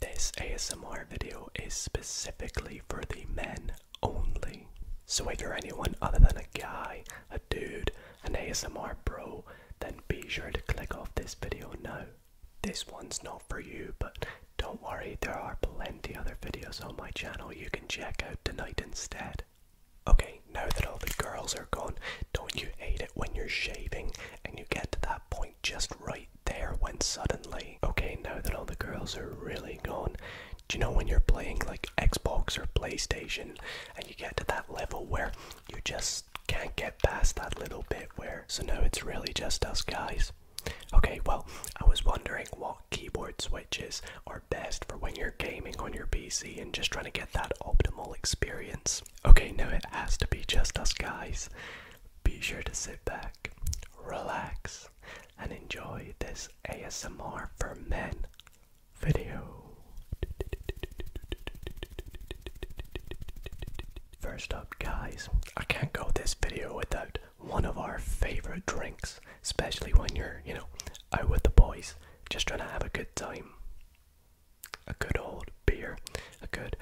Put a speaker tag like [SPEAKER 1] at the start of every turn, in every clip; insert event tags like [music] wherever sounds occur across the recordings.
[SPEAKER 1] This ASMR video is specifically for the men only. So if you're anyone other than a guy, a dude, an ASMR bro, then be sure to click off this video now. This one's not for you, but
[SPEAKER 2] don't worry, there are plenty other videos on my channel you can check out tonight instead. Okay, now that all the girls are gone, don't you hate it when you're shaving and you get to that point? just right there when suddenly, okay, now that all the girls are really gone, do you know when you're playing like Xbox or PlayStation and you get to that level where you just can't get past that little bit where, so now it's really just us guys? Okay, well, I was wondering what keyboard switches are best for when you're gaming on your PC and just trying to get that optimal experience. Okay, now it has to be just us guys. Be sure to sit back, relax, and enjoy this ASMR for men video. First up, guys, I can't go this video without one of our favorite drinks, especially when you're, you know, out with the boys, just trying to have a good time. A good old beer, a good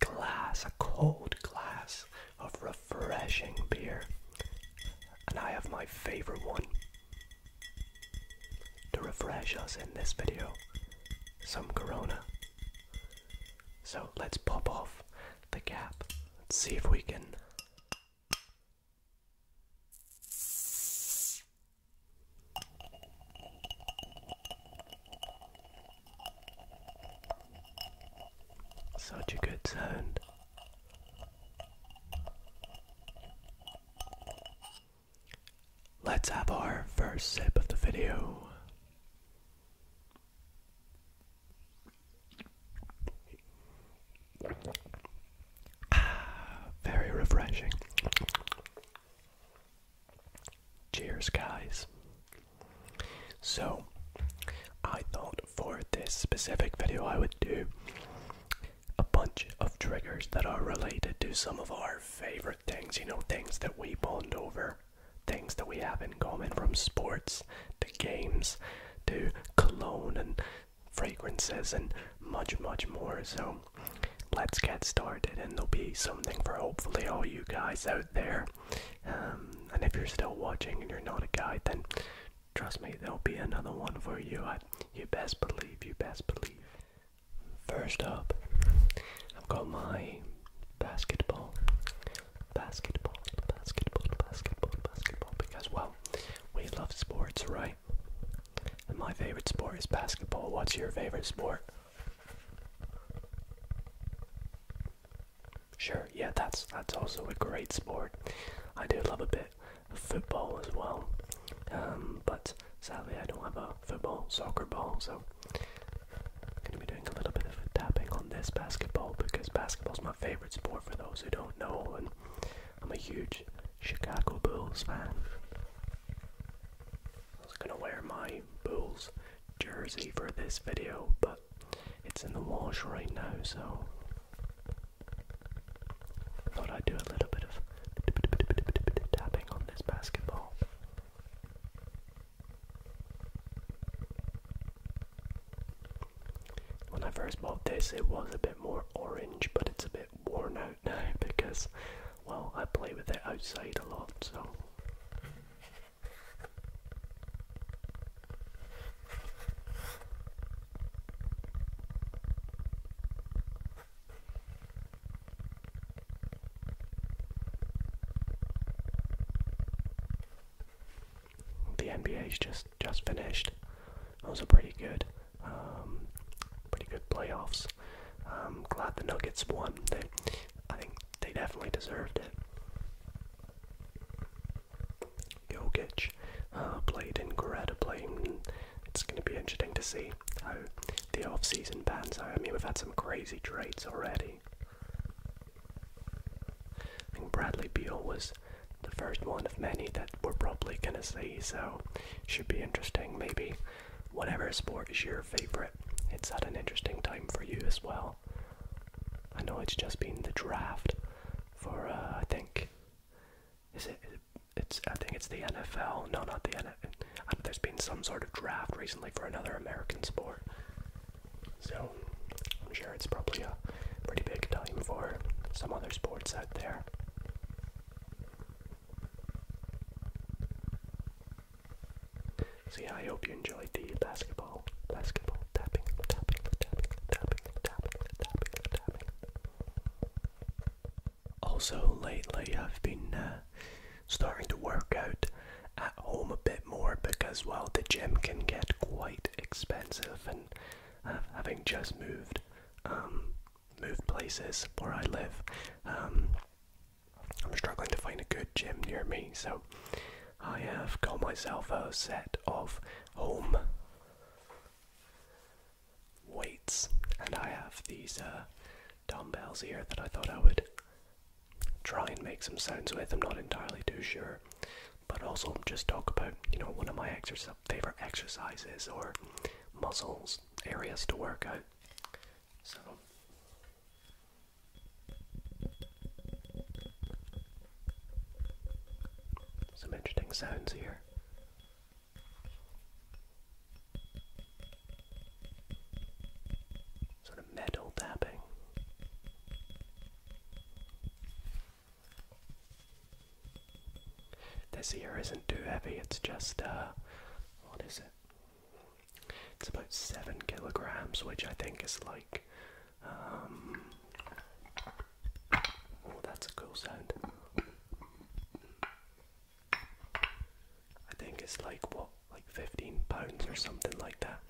[SPEAKER 2] glass, a cold glass of refreshing beer. And I have my favorite one to refresh us in this video some Corona. So let's pop off the cap Let's see if we can. Such a good sound. Let's have our first sip of the video. Ah, very refreshing. Cheers, guys. So, I thought for this specific video, I would do a bunch of triggers that are related to some of our favorite things, you know, things that we bond over, things that we have in common from sports to games to cologne and fragrances and much, much more. So, let's get started, and there'll be something for hopefully all you guys out there um, and if you're still watching and you're not a guy, then trust me, there'll be another one for you. I, you best believe, you best believe. First up, I've got my basketball, basketball, basketball, basketball, basketball, because, well, we love sports, right? And my favorite sport is basketball. What's your favorite sport? Sure, yeah, that's that's also a great sport. I do love a bit of football as well, um, but sadly I don't have a football soccer ball, so I'm going to be doing a little bit of tapping on this basketball because basketball's my favorite sport. For those who don't know, and I'm a huge Chicago Bulls fan. I was going to wear my Bulls jersey for this video, but it's in the wash right now, so thought I'd do a little bit of tapping on this basketball. When I first bought this, it was a bit more orange, but it's a bit worn out [laughs] now because, well, I play with it outside a lot, so
[SPEAKER 1] the NBA's just just finished. It was a pretty good, um, pretty good playoffs. I'm um, glad the Nuggets won. I think they definitely deserved
[SPEAKER 2] it. Jokic uh,
[SPEAKER 1] played incredibly. It's going to be interesting to see how the off-season
[SPEAKER 2] pans out. I mean, we've had some crazy trades already. I think Bradley Beal was the first one of many that we're probably going to see, so should be interesting. Maybe whatever sport is your favorite, it's at an interesting time for you as well. I know it's just been the draft for uh, I think is it it's I think it's the NFL. No, not the NFL. There's been some sort of draft recently for another American sport. So I'm sure it's probably a pretty big time for some other sports out there. So yeah, I hope you enjoyed the basketball, basketball tapping, tapping, tapping, tapping, tapping, tapping, tapping. Also lately, I've been uh, starting to work out at home a bit more because well, the gym can get quite expensive, and having just moved, um, moved places where I live, um, I'm struggling to find a good gym near me, so I have got myself a set of home weights, and I have these uh, dumbbells here that I thought I would try and make some sounds with. I'm not entirely too sure, but also just talk about you know one of my favorite exercises or muscles areas to work out. So some interesting sounds here. Sort of metal tapping. This here isn't too heavy, it's just, uh, what is it? It's about seven kilograms, which I think is like. Um, oh, that's a cool sound. I think it's like what, like 15 pounds or something like that.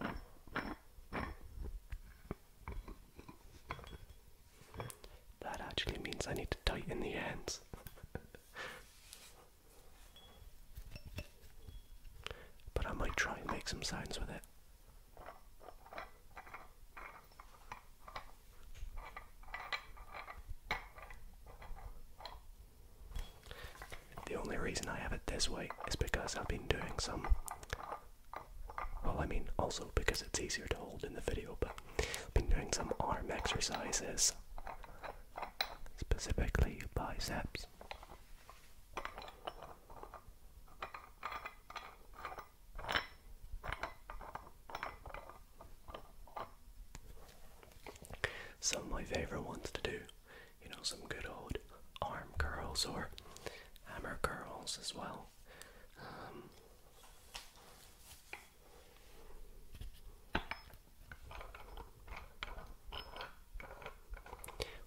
[SPEAKER 2] That actually means I need to tighten the ends. [laughs] But I might try and make some sounds with it. The only reason I have it this way is because I've been doing some. Well, I mean, also because it's easier to hold in the video, but I've been doing some arm exercises, specifically biceps. Some of my favourite ones to do, you know, some good old arm curls or hammer curls as well. Um,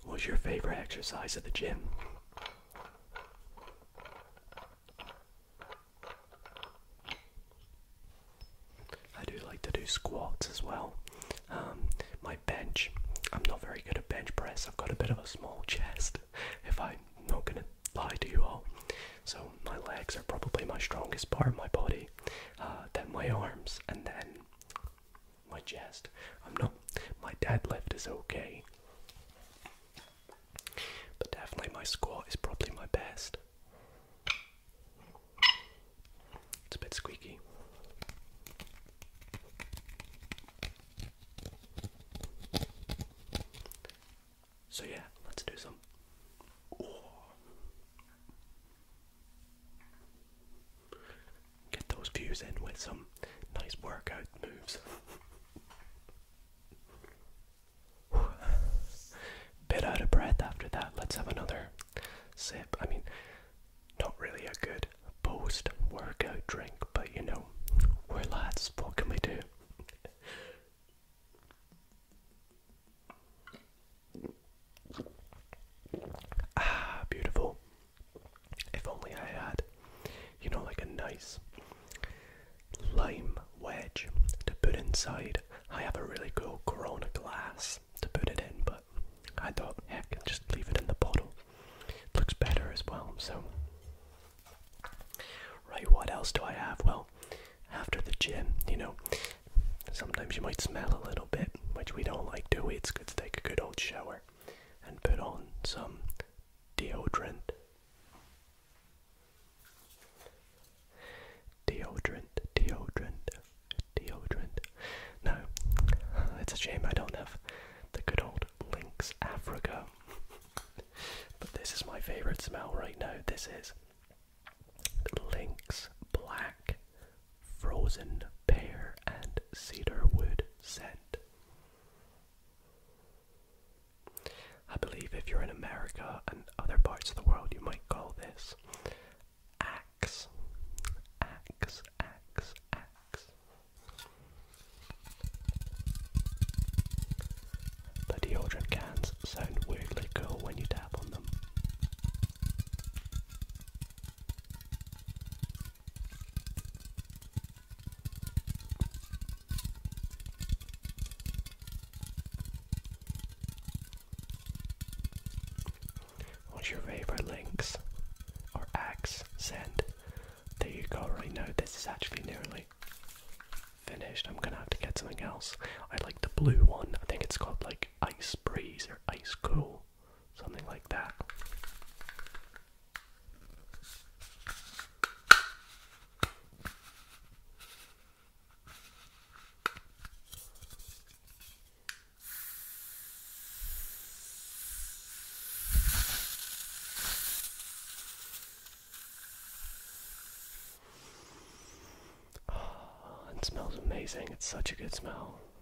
[SPEAKER 2] What's your favorite exercise at the gym? I do like to do squats as well. Um, my bench, I'm not very good at bench press. I've got a bit of a small chest, [laughs] if I'm not gonna lie to you all. So my legs are probably my strongest part of my body, uh, then my arms, and then my chest. I'm not. My deadlift is okay, but definitely my squat is probably my best. It's a bit squeaky. So yeah, let's do some. Get those views in with some nice workout moves. [sighs] Bit out of breath after that. Let's have another sip. I mean, not really a good post workout drink, but you know, we're lads. What can we do? Ah, beautiful. If only I had, you know, like a nice lime wedge to put inside. I have a really cool Corona glass to put it in, but I thought, heck, just leave it in the bottle. looks better as well, so. Right, what else do I have? Well, after the gin, you know, sometimes you might smell a little bit, which we don't like, do we? It's good to take a good old shower and put on some deodorant. Deodorant, deodorant, deodorant. No, it's a shame I don't have the good old Lynx Africa. but this is my favourite smell right now. This is Lynx Black frozen pear and cedarwood
[SPEAKER 1] scent. I believe if you're in America and other parts of the world, you
[SPEAKER 2] might call this axe. Axe, axe, axe. The deodorant cans sound weirdly cool when you tap on them. What's your favorite links or acts send? There you go, right know This is actually nearly finished. I'm gonna have to get something else. I like the blue one. I think it's called like Ice Breeze or Ice Cool something like that. [sighs] it smells amazing. It's such a good smell.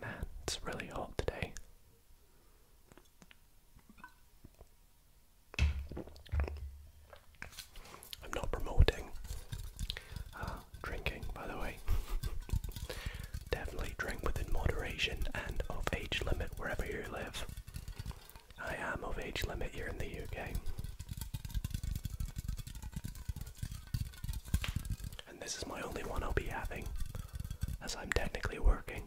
[SPEAKER 2] Man, it's really hot today. I'm not promoting uh, drinking, by the way. [laughs] Definitely drink within moderation and of age limit wherever you live. I am of age limit here in the UK. And this is my only one I'll be having, as I'm technically working.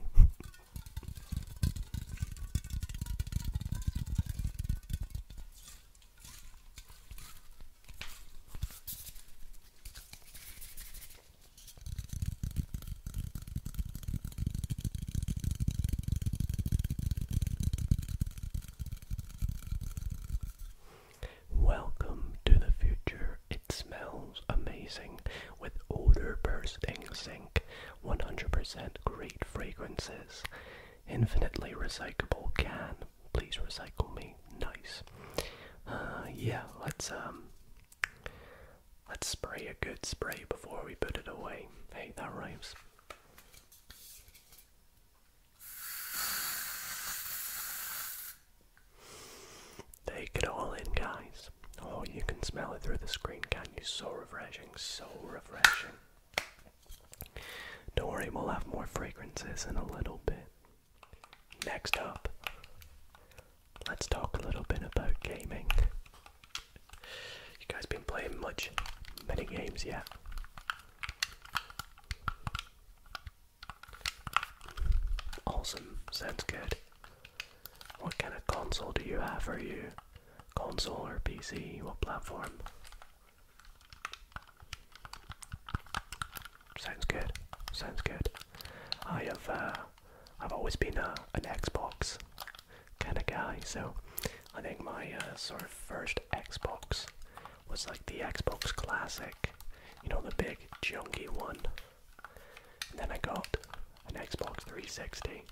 [SPEAKER 2] Welcome to the future. It smells amazing with odor bursting zinc, 100% great fragrances, infinitely recyclable can. Please recycle me. Nice. Uh, yeah, let's um, let's spray a good spray before we put it away. Hey, that rhymes. Take it all in, guys. Oh, you can smell it through the screen, can you? So refreshing, so refreshing. Don't worry, we'll have more fragrances in a little bit. Next up, let's talk a little bit about gaming. You guys been playing much many games yet? Awesome, sounds good. What kind of console do you have? for you console or PC? What platform? Sounds good. Sounds good. I have. Uh, I've always been a, uh, an Xbox kind of guy. So I think my uh, sort of first Xbox was like the Xbox Classic, you know, the big junky one. then I got an Xbox 360.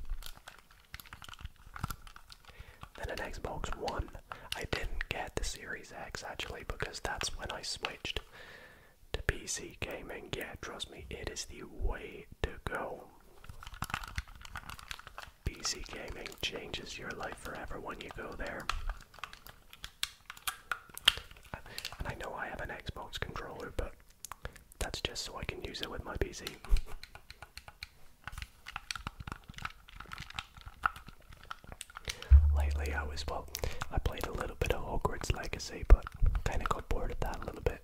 [SPEAKER 2] Then an Xbox One. I didn't get the Series X actually because that's when I switched to PC gaming. Yeah, trust me, it is the way to go. PC gaming changes your life forever when you go there. And I know I have an Xbox controller, but that's just so I can use it with my PC. Lately, I was well, I played a little bit of Hogwarts Legacy, but kind of got bored of that a little bit.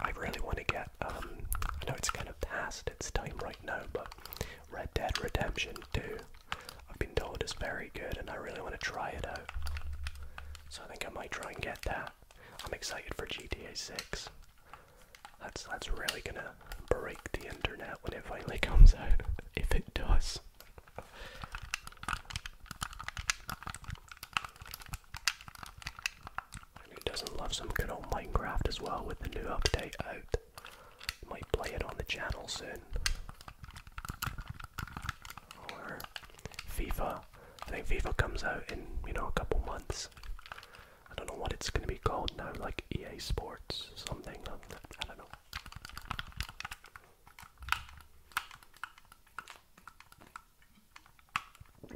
[SPEAKER 2] I really want to get um, I know it's kind of past its time right now, but Red Dead Redemption 2, I've been told is very good and I really want to try it out. So I think I might try and get that. I'm excited for GTA 6. That's, that's really gonna break the internet when it finally [laughs] comes out, if it does. And who doesn't love some good old Minecraft as well with the new update out? Might play it on the channel soon. FIFA. I think FIFA comes out in, you know, a couple months. I don't know what it's gonna be called now, like EA Sports, something. I don't know. I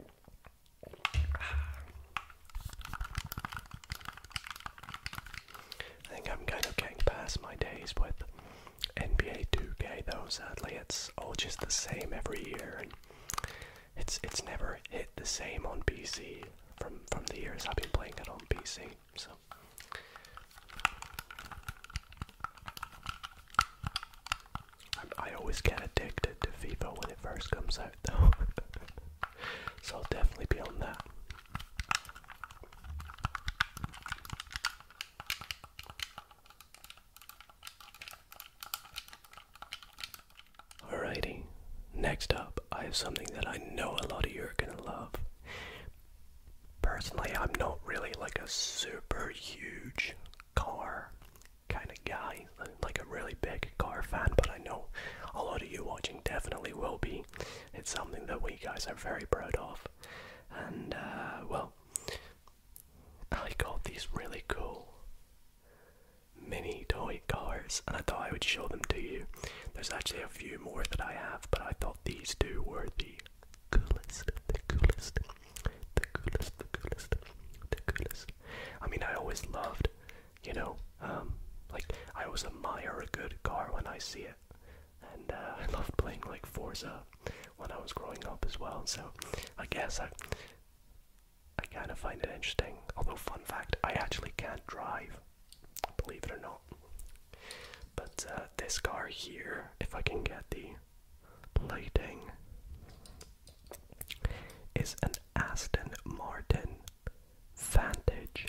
[SPEAKER 2] think I'm kind of getting past my days with NBA 2K though, sadly. It's all just the same every year and it's it's never hit the same on PC from from the years I've been playing it on PC, so I, always get addicted to FIFA when it first comes out, though. [laughs] so I'll definitely be on that. Alrighty, next up, I have something that I know a lot of you are gonna love. Personally, I'm not really like a super huge car kind of guy, like a really big car fan, but I know a lot of you watching definitely will be. It's something that we guys are very proud of. And, uh, well, I got these really cool mini toy cars, and I thought I would show them to you. There's actually a few more that I have, but I thought these two were the coolest, the coolest, the coolest, the coolest, the coolest. I mean, I always loved you know, um, like I always admire a good car when I see it, and uh, [laughs] I loved playing like Forza when I was growing up as well. So I guess I, I kind of find it interesting. Although, fun fact, I actually can't drive, believe it or not. But uh, this car here, if I can get the plating is an Aston Martin Vantage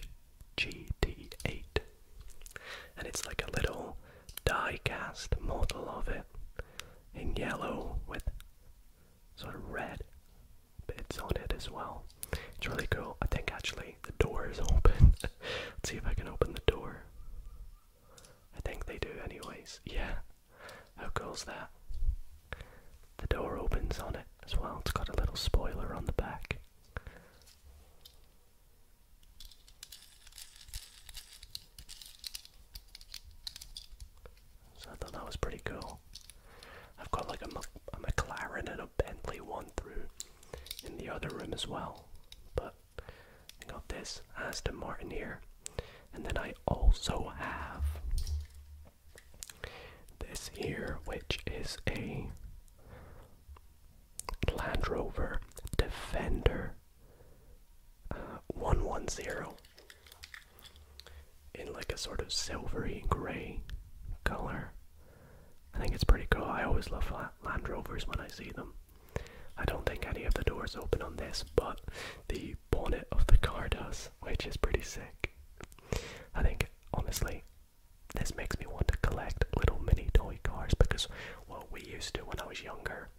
[SPEAKER 2] GT8. And it's like a little die cast model of it in yellow with sort of red bits on it as well. It's really cool. I think actually the door is open. [laughs] Let's see if I can open the door. I think they do, anyways. Yeah, how cool's that? The door opens on it as well. It's got a little spoiler on the back. So I thought that was pretty cool. I've got like a McLaren and a Bentley one through in the other room as well. But I got this Aston Martin here. And then I also have this here, which is a Land Rover Defender uh, 110 in like a sort of silvery gray color. I think it's pretty cool. I always love Land Rovers when I see them. I don't think any of the doors open on this, but the bonnet of the car does, which is pretty sick. I think, honestly, this makes me want to collect little mini toy cars because what we used to do when I was younger,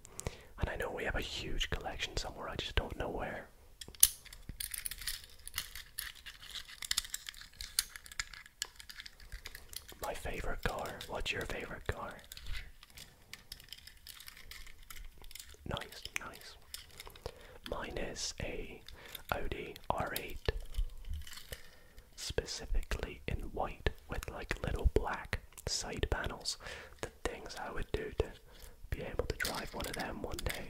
[SPEAKER 2] and I know we have a huge collection somewhere, I just don't know where. My favorite car. What's your favorite car? Nice, nice. Mine is a Audi R8, specifically in white with like little black side panels. The things I would do to be able to drive one of them one day.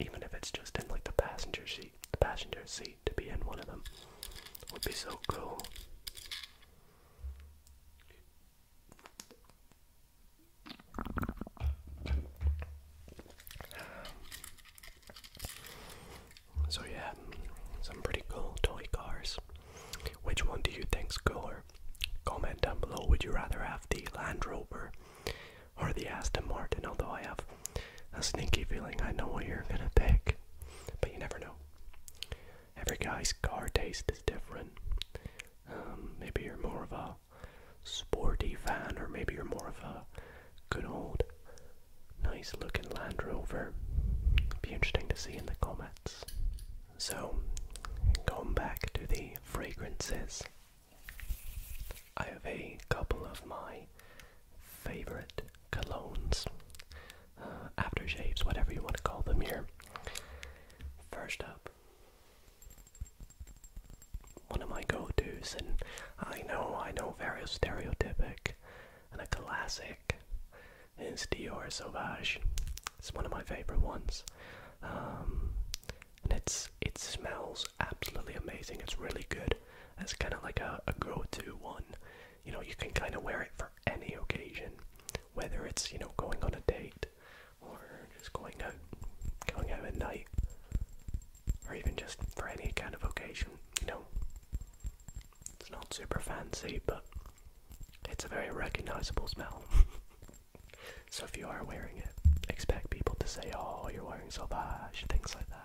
[SPEAKER 2] Even if it's just in like the passenger seat, the passenger seat to be in one of them would be so cool. So yeah, some pretty cool toy cars. Which one do you think is cooler?
[SPEAKER 1] Comment down below. Would you rather have the Land Rover or the Aston Martin?
[SPEAKER 2] Although I have a sneaky feeling I know what you're gonna pick, but you never know every guy's car taste is different. Um, maybe you're more of a sporty fan, or maybe you're more of a good old, nice looking Land Rover. Be interesting to see in the comments. So, going back to the fragrances, I have a couple of my favorite colognes, uh, aftershaves, whatever you want to call them here. First up, one of my go-tos, and I know, I know, very stereotypic, and a classic is Dior Sauvage. It's one of my favorite ones, um, and it's it smells absolutely amazing. It's really good. It's kind of like a, a go-to one. You know, you can kind of wear it for any occasion, whether it's you know going on a date, or just going out, going out at night, or even just for any kind of occasion, you know. It's not super fancy, but it's a very recognizable smell. [laughs] so if you are wearing it, expect people to say, oh, you're wearing Sauvage, things like that.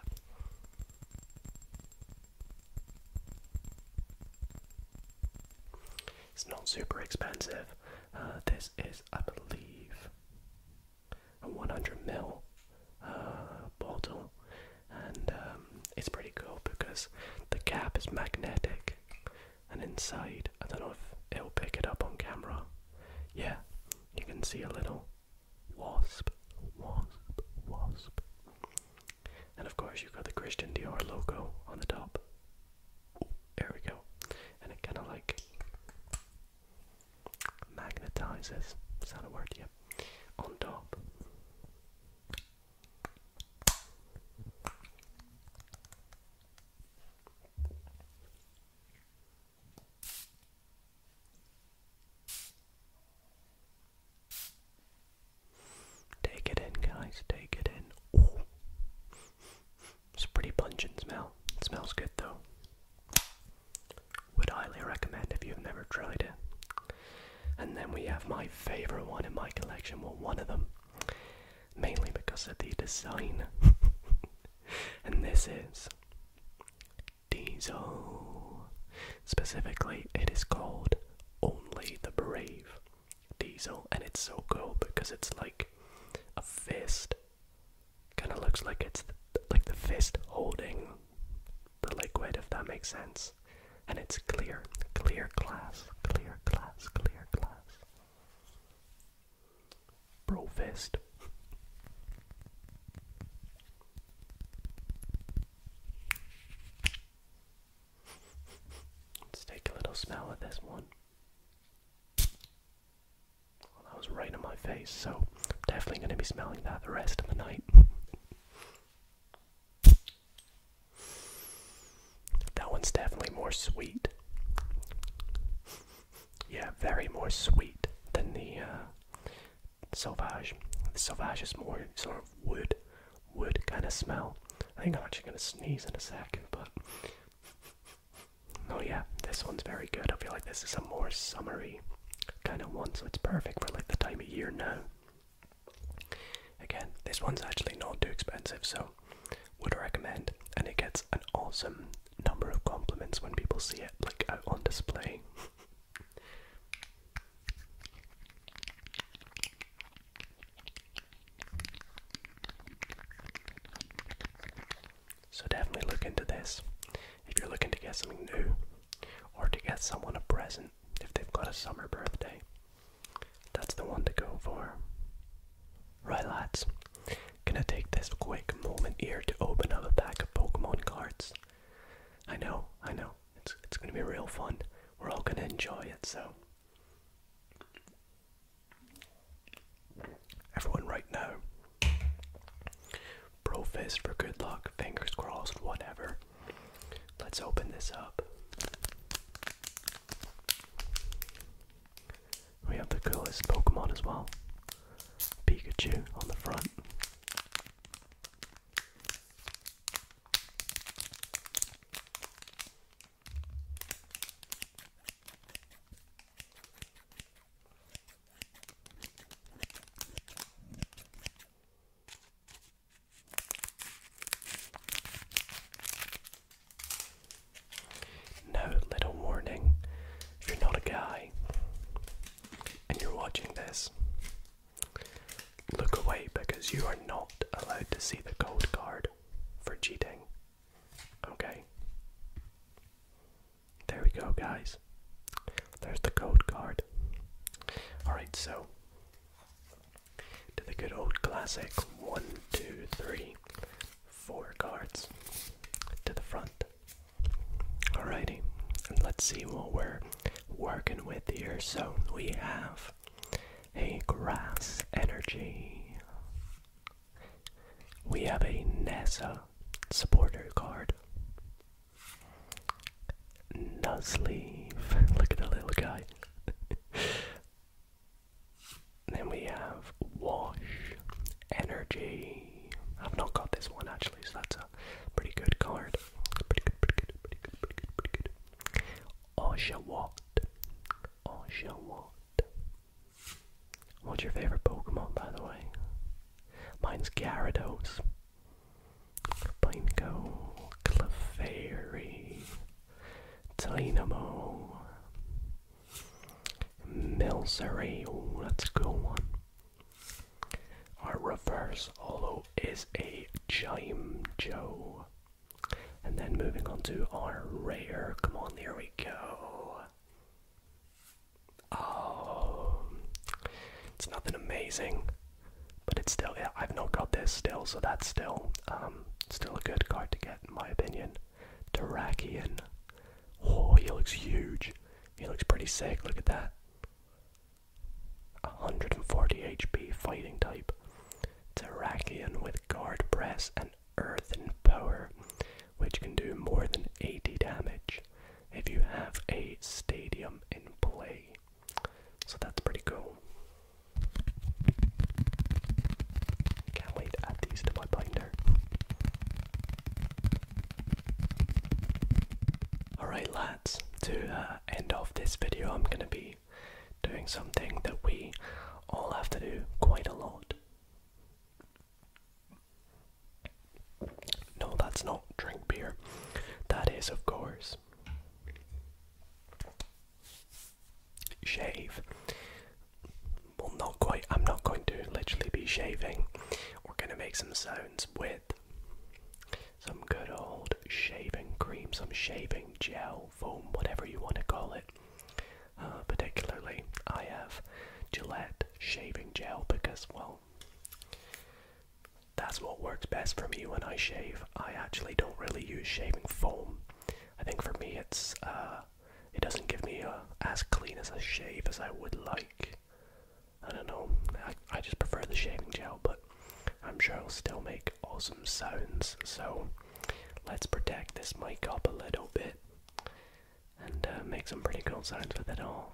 [SPEAKER 2] It's not super expensive. Uh, this is, I believe, a 100 ml uh, bottle, and um, it's pretty cool because the cap is magnetic, and inside, I don't know if it'll pick it up on camera. Yeah, you can see a little wasp, wasp, wasp, and of course you've got the Christian Dior logo on the top there we go. And it kind of like magnetizes. Is that a word? Yep. On top. Take it in, guys. Take it in. It's a pretty pungent smell. It smells good though. Would highly recommend if you've never tried it. And then we have my favorite one in my collection, well, one of them, mainly because of the design. [laughs] and this is Diesel. Specifically, it is called Only the Brave. Diesel, and it's so cool because it's like a fist. Kind of looks like it's like the fist holding the liquid, if that makes sense. And it's clear, clear glass, clear glass, clear glass. Bro fist. Let's take a little smell of this one that was right in my face, so definitely going to be smelling that the rest of the night. that one's definitely more sweet. Yeah, very more sweet than the uh, Sauvage. The Sauvage is more sort of wood, wood kind of smell. I think I'm actually going to sneeze in a second, but Oh yeah, this one's very good. I feel like this is a more summery kind of one, so it's perfect for like the time of year now. Again, this one's actually not too expensive, so would recommend, and it gets an awesome number of compliments when people see it like out on display. [laughs] So definitely look into this if you're looking to get something new or to get someone a present if they've got a summer birthday. That's the one to go for. Right lads, gonna take this quick moment here to open up a pack of Pokemon cards. I know, I know, it's it's gonna be real fun. We're all gonna enjoy it, so Everyone right now. Pro fist for good luck, fingers crossed, whatever. Let's open this up. We have the coolest Pokemon as well. Pikachu on the front. Now, little warning you're not a guy and you're watching this, look away because you are not allowed to see the gold card for cheating Okay. There we go, guys. There's the code card. Alright, so to the good old classic one, two, three, four cards to the front. Alrighty, and let's see what we're working with here. So we have a grass energy. We have a NASA supporter card. Nuzleaf. [laughs] Look at the little guy. [laughs] then we have Wash Energy. I've not got this one actually, so that's a pretty good card. Pretty good, pretty good, pretty good, pretty good, pretty good. Oshawott. Oshawott. What's your favorite Pokemon, by the way? Mine's Gyarados. Pineco, Clefairy, Dynamo, Milcery, oh that's a cool one. Our reverse holo is a Joe. And then moving on to our rare. Come on, there we go. Oh, it's nothing amazing, but it's still. Yeah, I've not got this still, so that's still um still a good card to get in my opinion. Terrakian. Oh, he looks huge. He looks pretty sick. Look at that. 140 HP fighting type. Terrakian with guard press and earth and power, which can do more than 80 damage if you have a stadium in play. So that's pretty cool. Can't wait to add these to my binder. Alright, lads, to the uh, end of this video, I'm gonna be doing something that we all have to do quite a lot. No, that's not drink beer. That is, of course, shave. Well, not quite. I'm not going to literally be shaving. We're going to make some sounds with some good old shaving cream,
[SPEAKER 1] some shaving gel, foam, whatever you want to call it. Uh, particularly, I have Gillette shaving gel because, well, that's what works best for me when I shave. I actually don't really use
[SPEAKER 2] shaving foam. I think for me, it's uh, it doesn't give me as clean as a shave as I would like. I don't know. I, I just prefer the shaving gel, but I'm sure it'll still make awesome sounds. So let's protect this mic up a little bit and uh, make some pretty cool sounds with it all.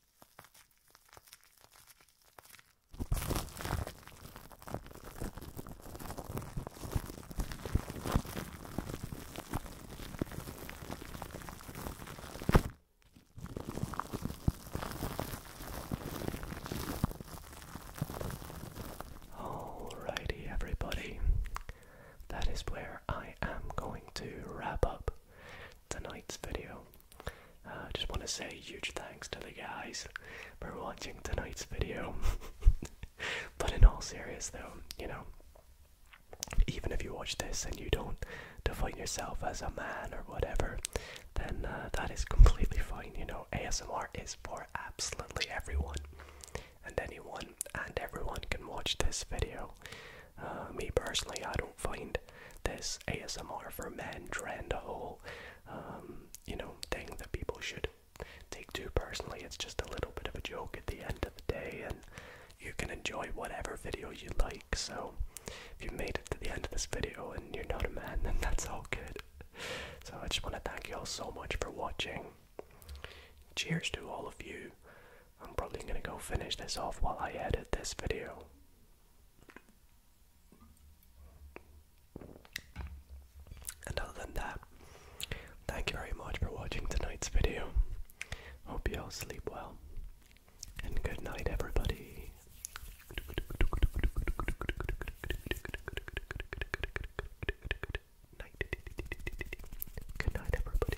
[SPEAKER 1] Alrighty, everybody, that is where I am going to wrap up tonight's video. I uh, just want to say huge
[SPEAKER 2] thanks to the guys for watching tonight's video. [laughs] but in all seriousness, though, you know, even if you watch this and you don't define yourself as a man or whatever, then uh, that is completely fine. You know, ASMR is for absolutely everyone and anyone, and everyone can watch this video. Uh, me personally, I don't find this ASMR for men trend a whole, um, you
[SPEAKER 1] know, thing that people should take too personally. It's just a little bit of a joke at the end of the day, and you can enjoy whatever video
[SPEAKER 2] you like. So, if you made it to the end of this video and you're not a man, then that's all good. So, I just want to thank you all so much for watching. Cheers to all of you. I'm probably going to go finish this off while I edit this video. And other than that, thank you very much for watching tonight's video. Hope you all sleep well. And good night, everybody. Good night, everybody.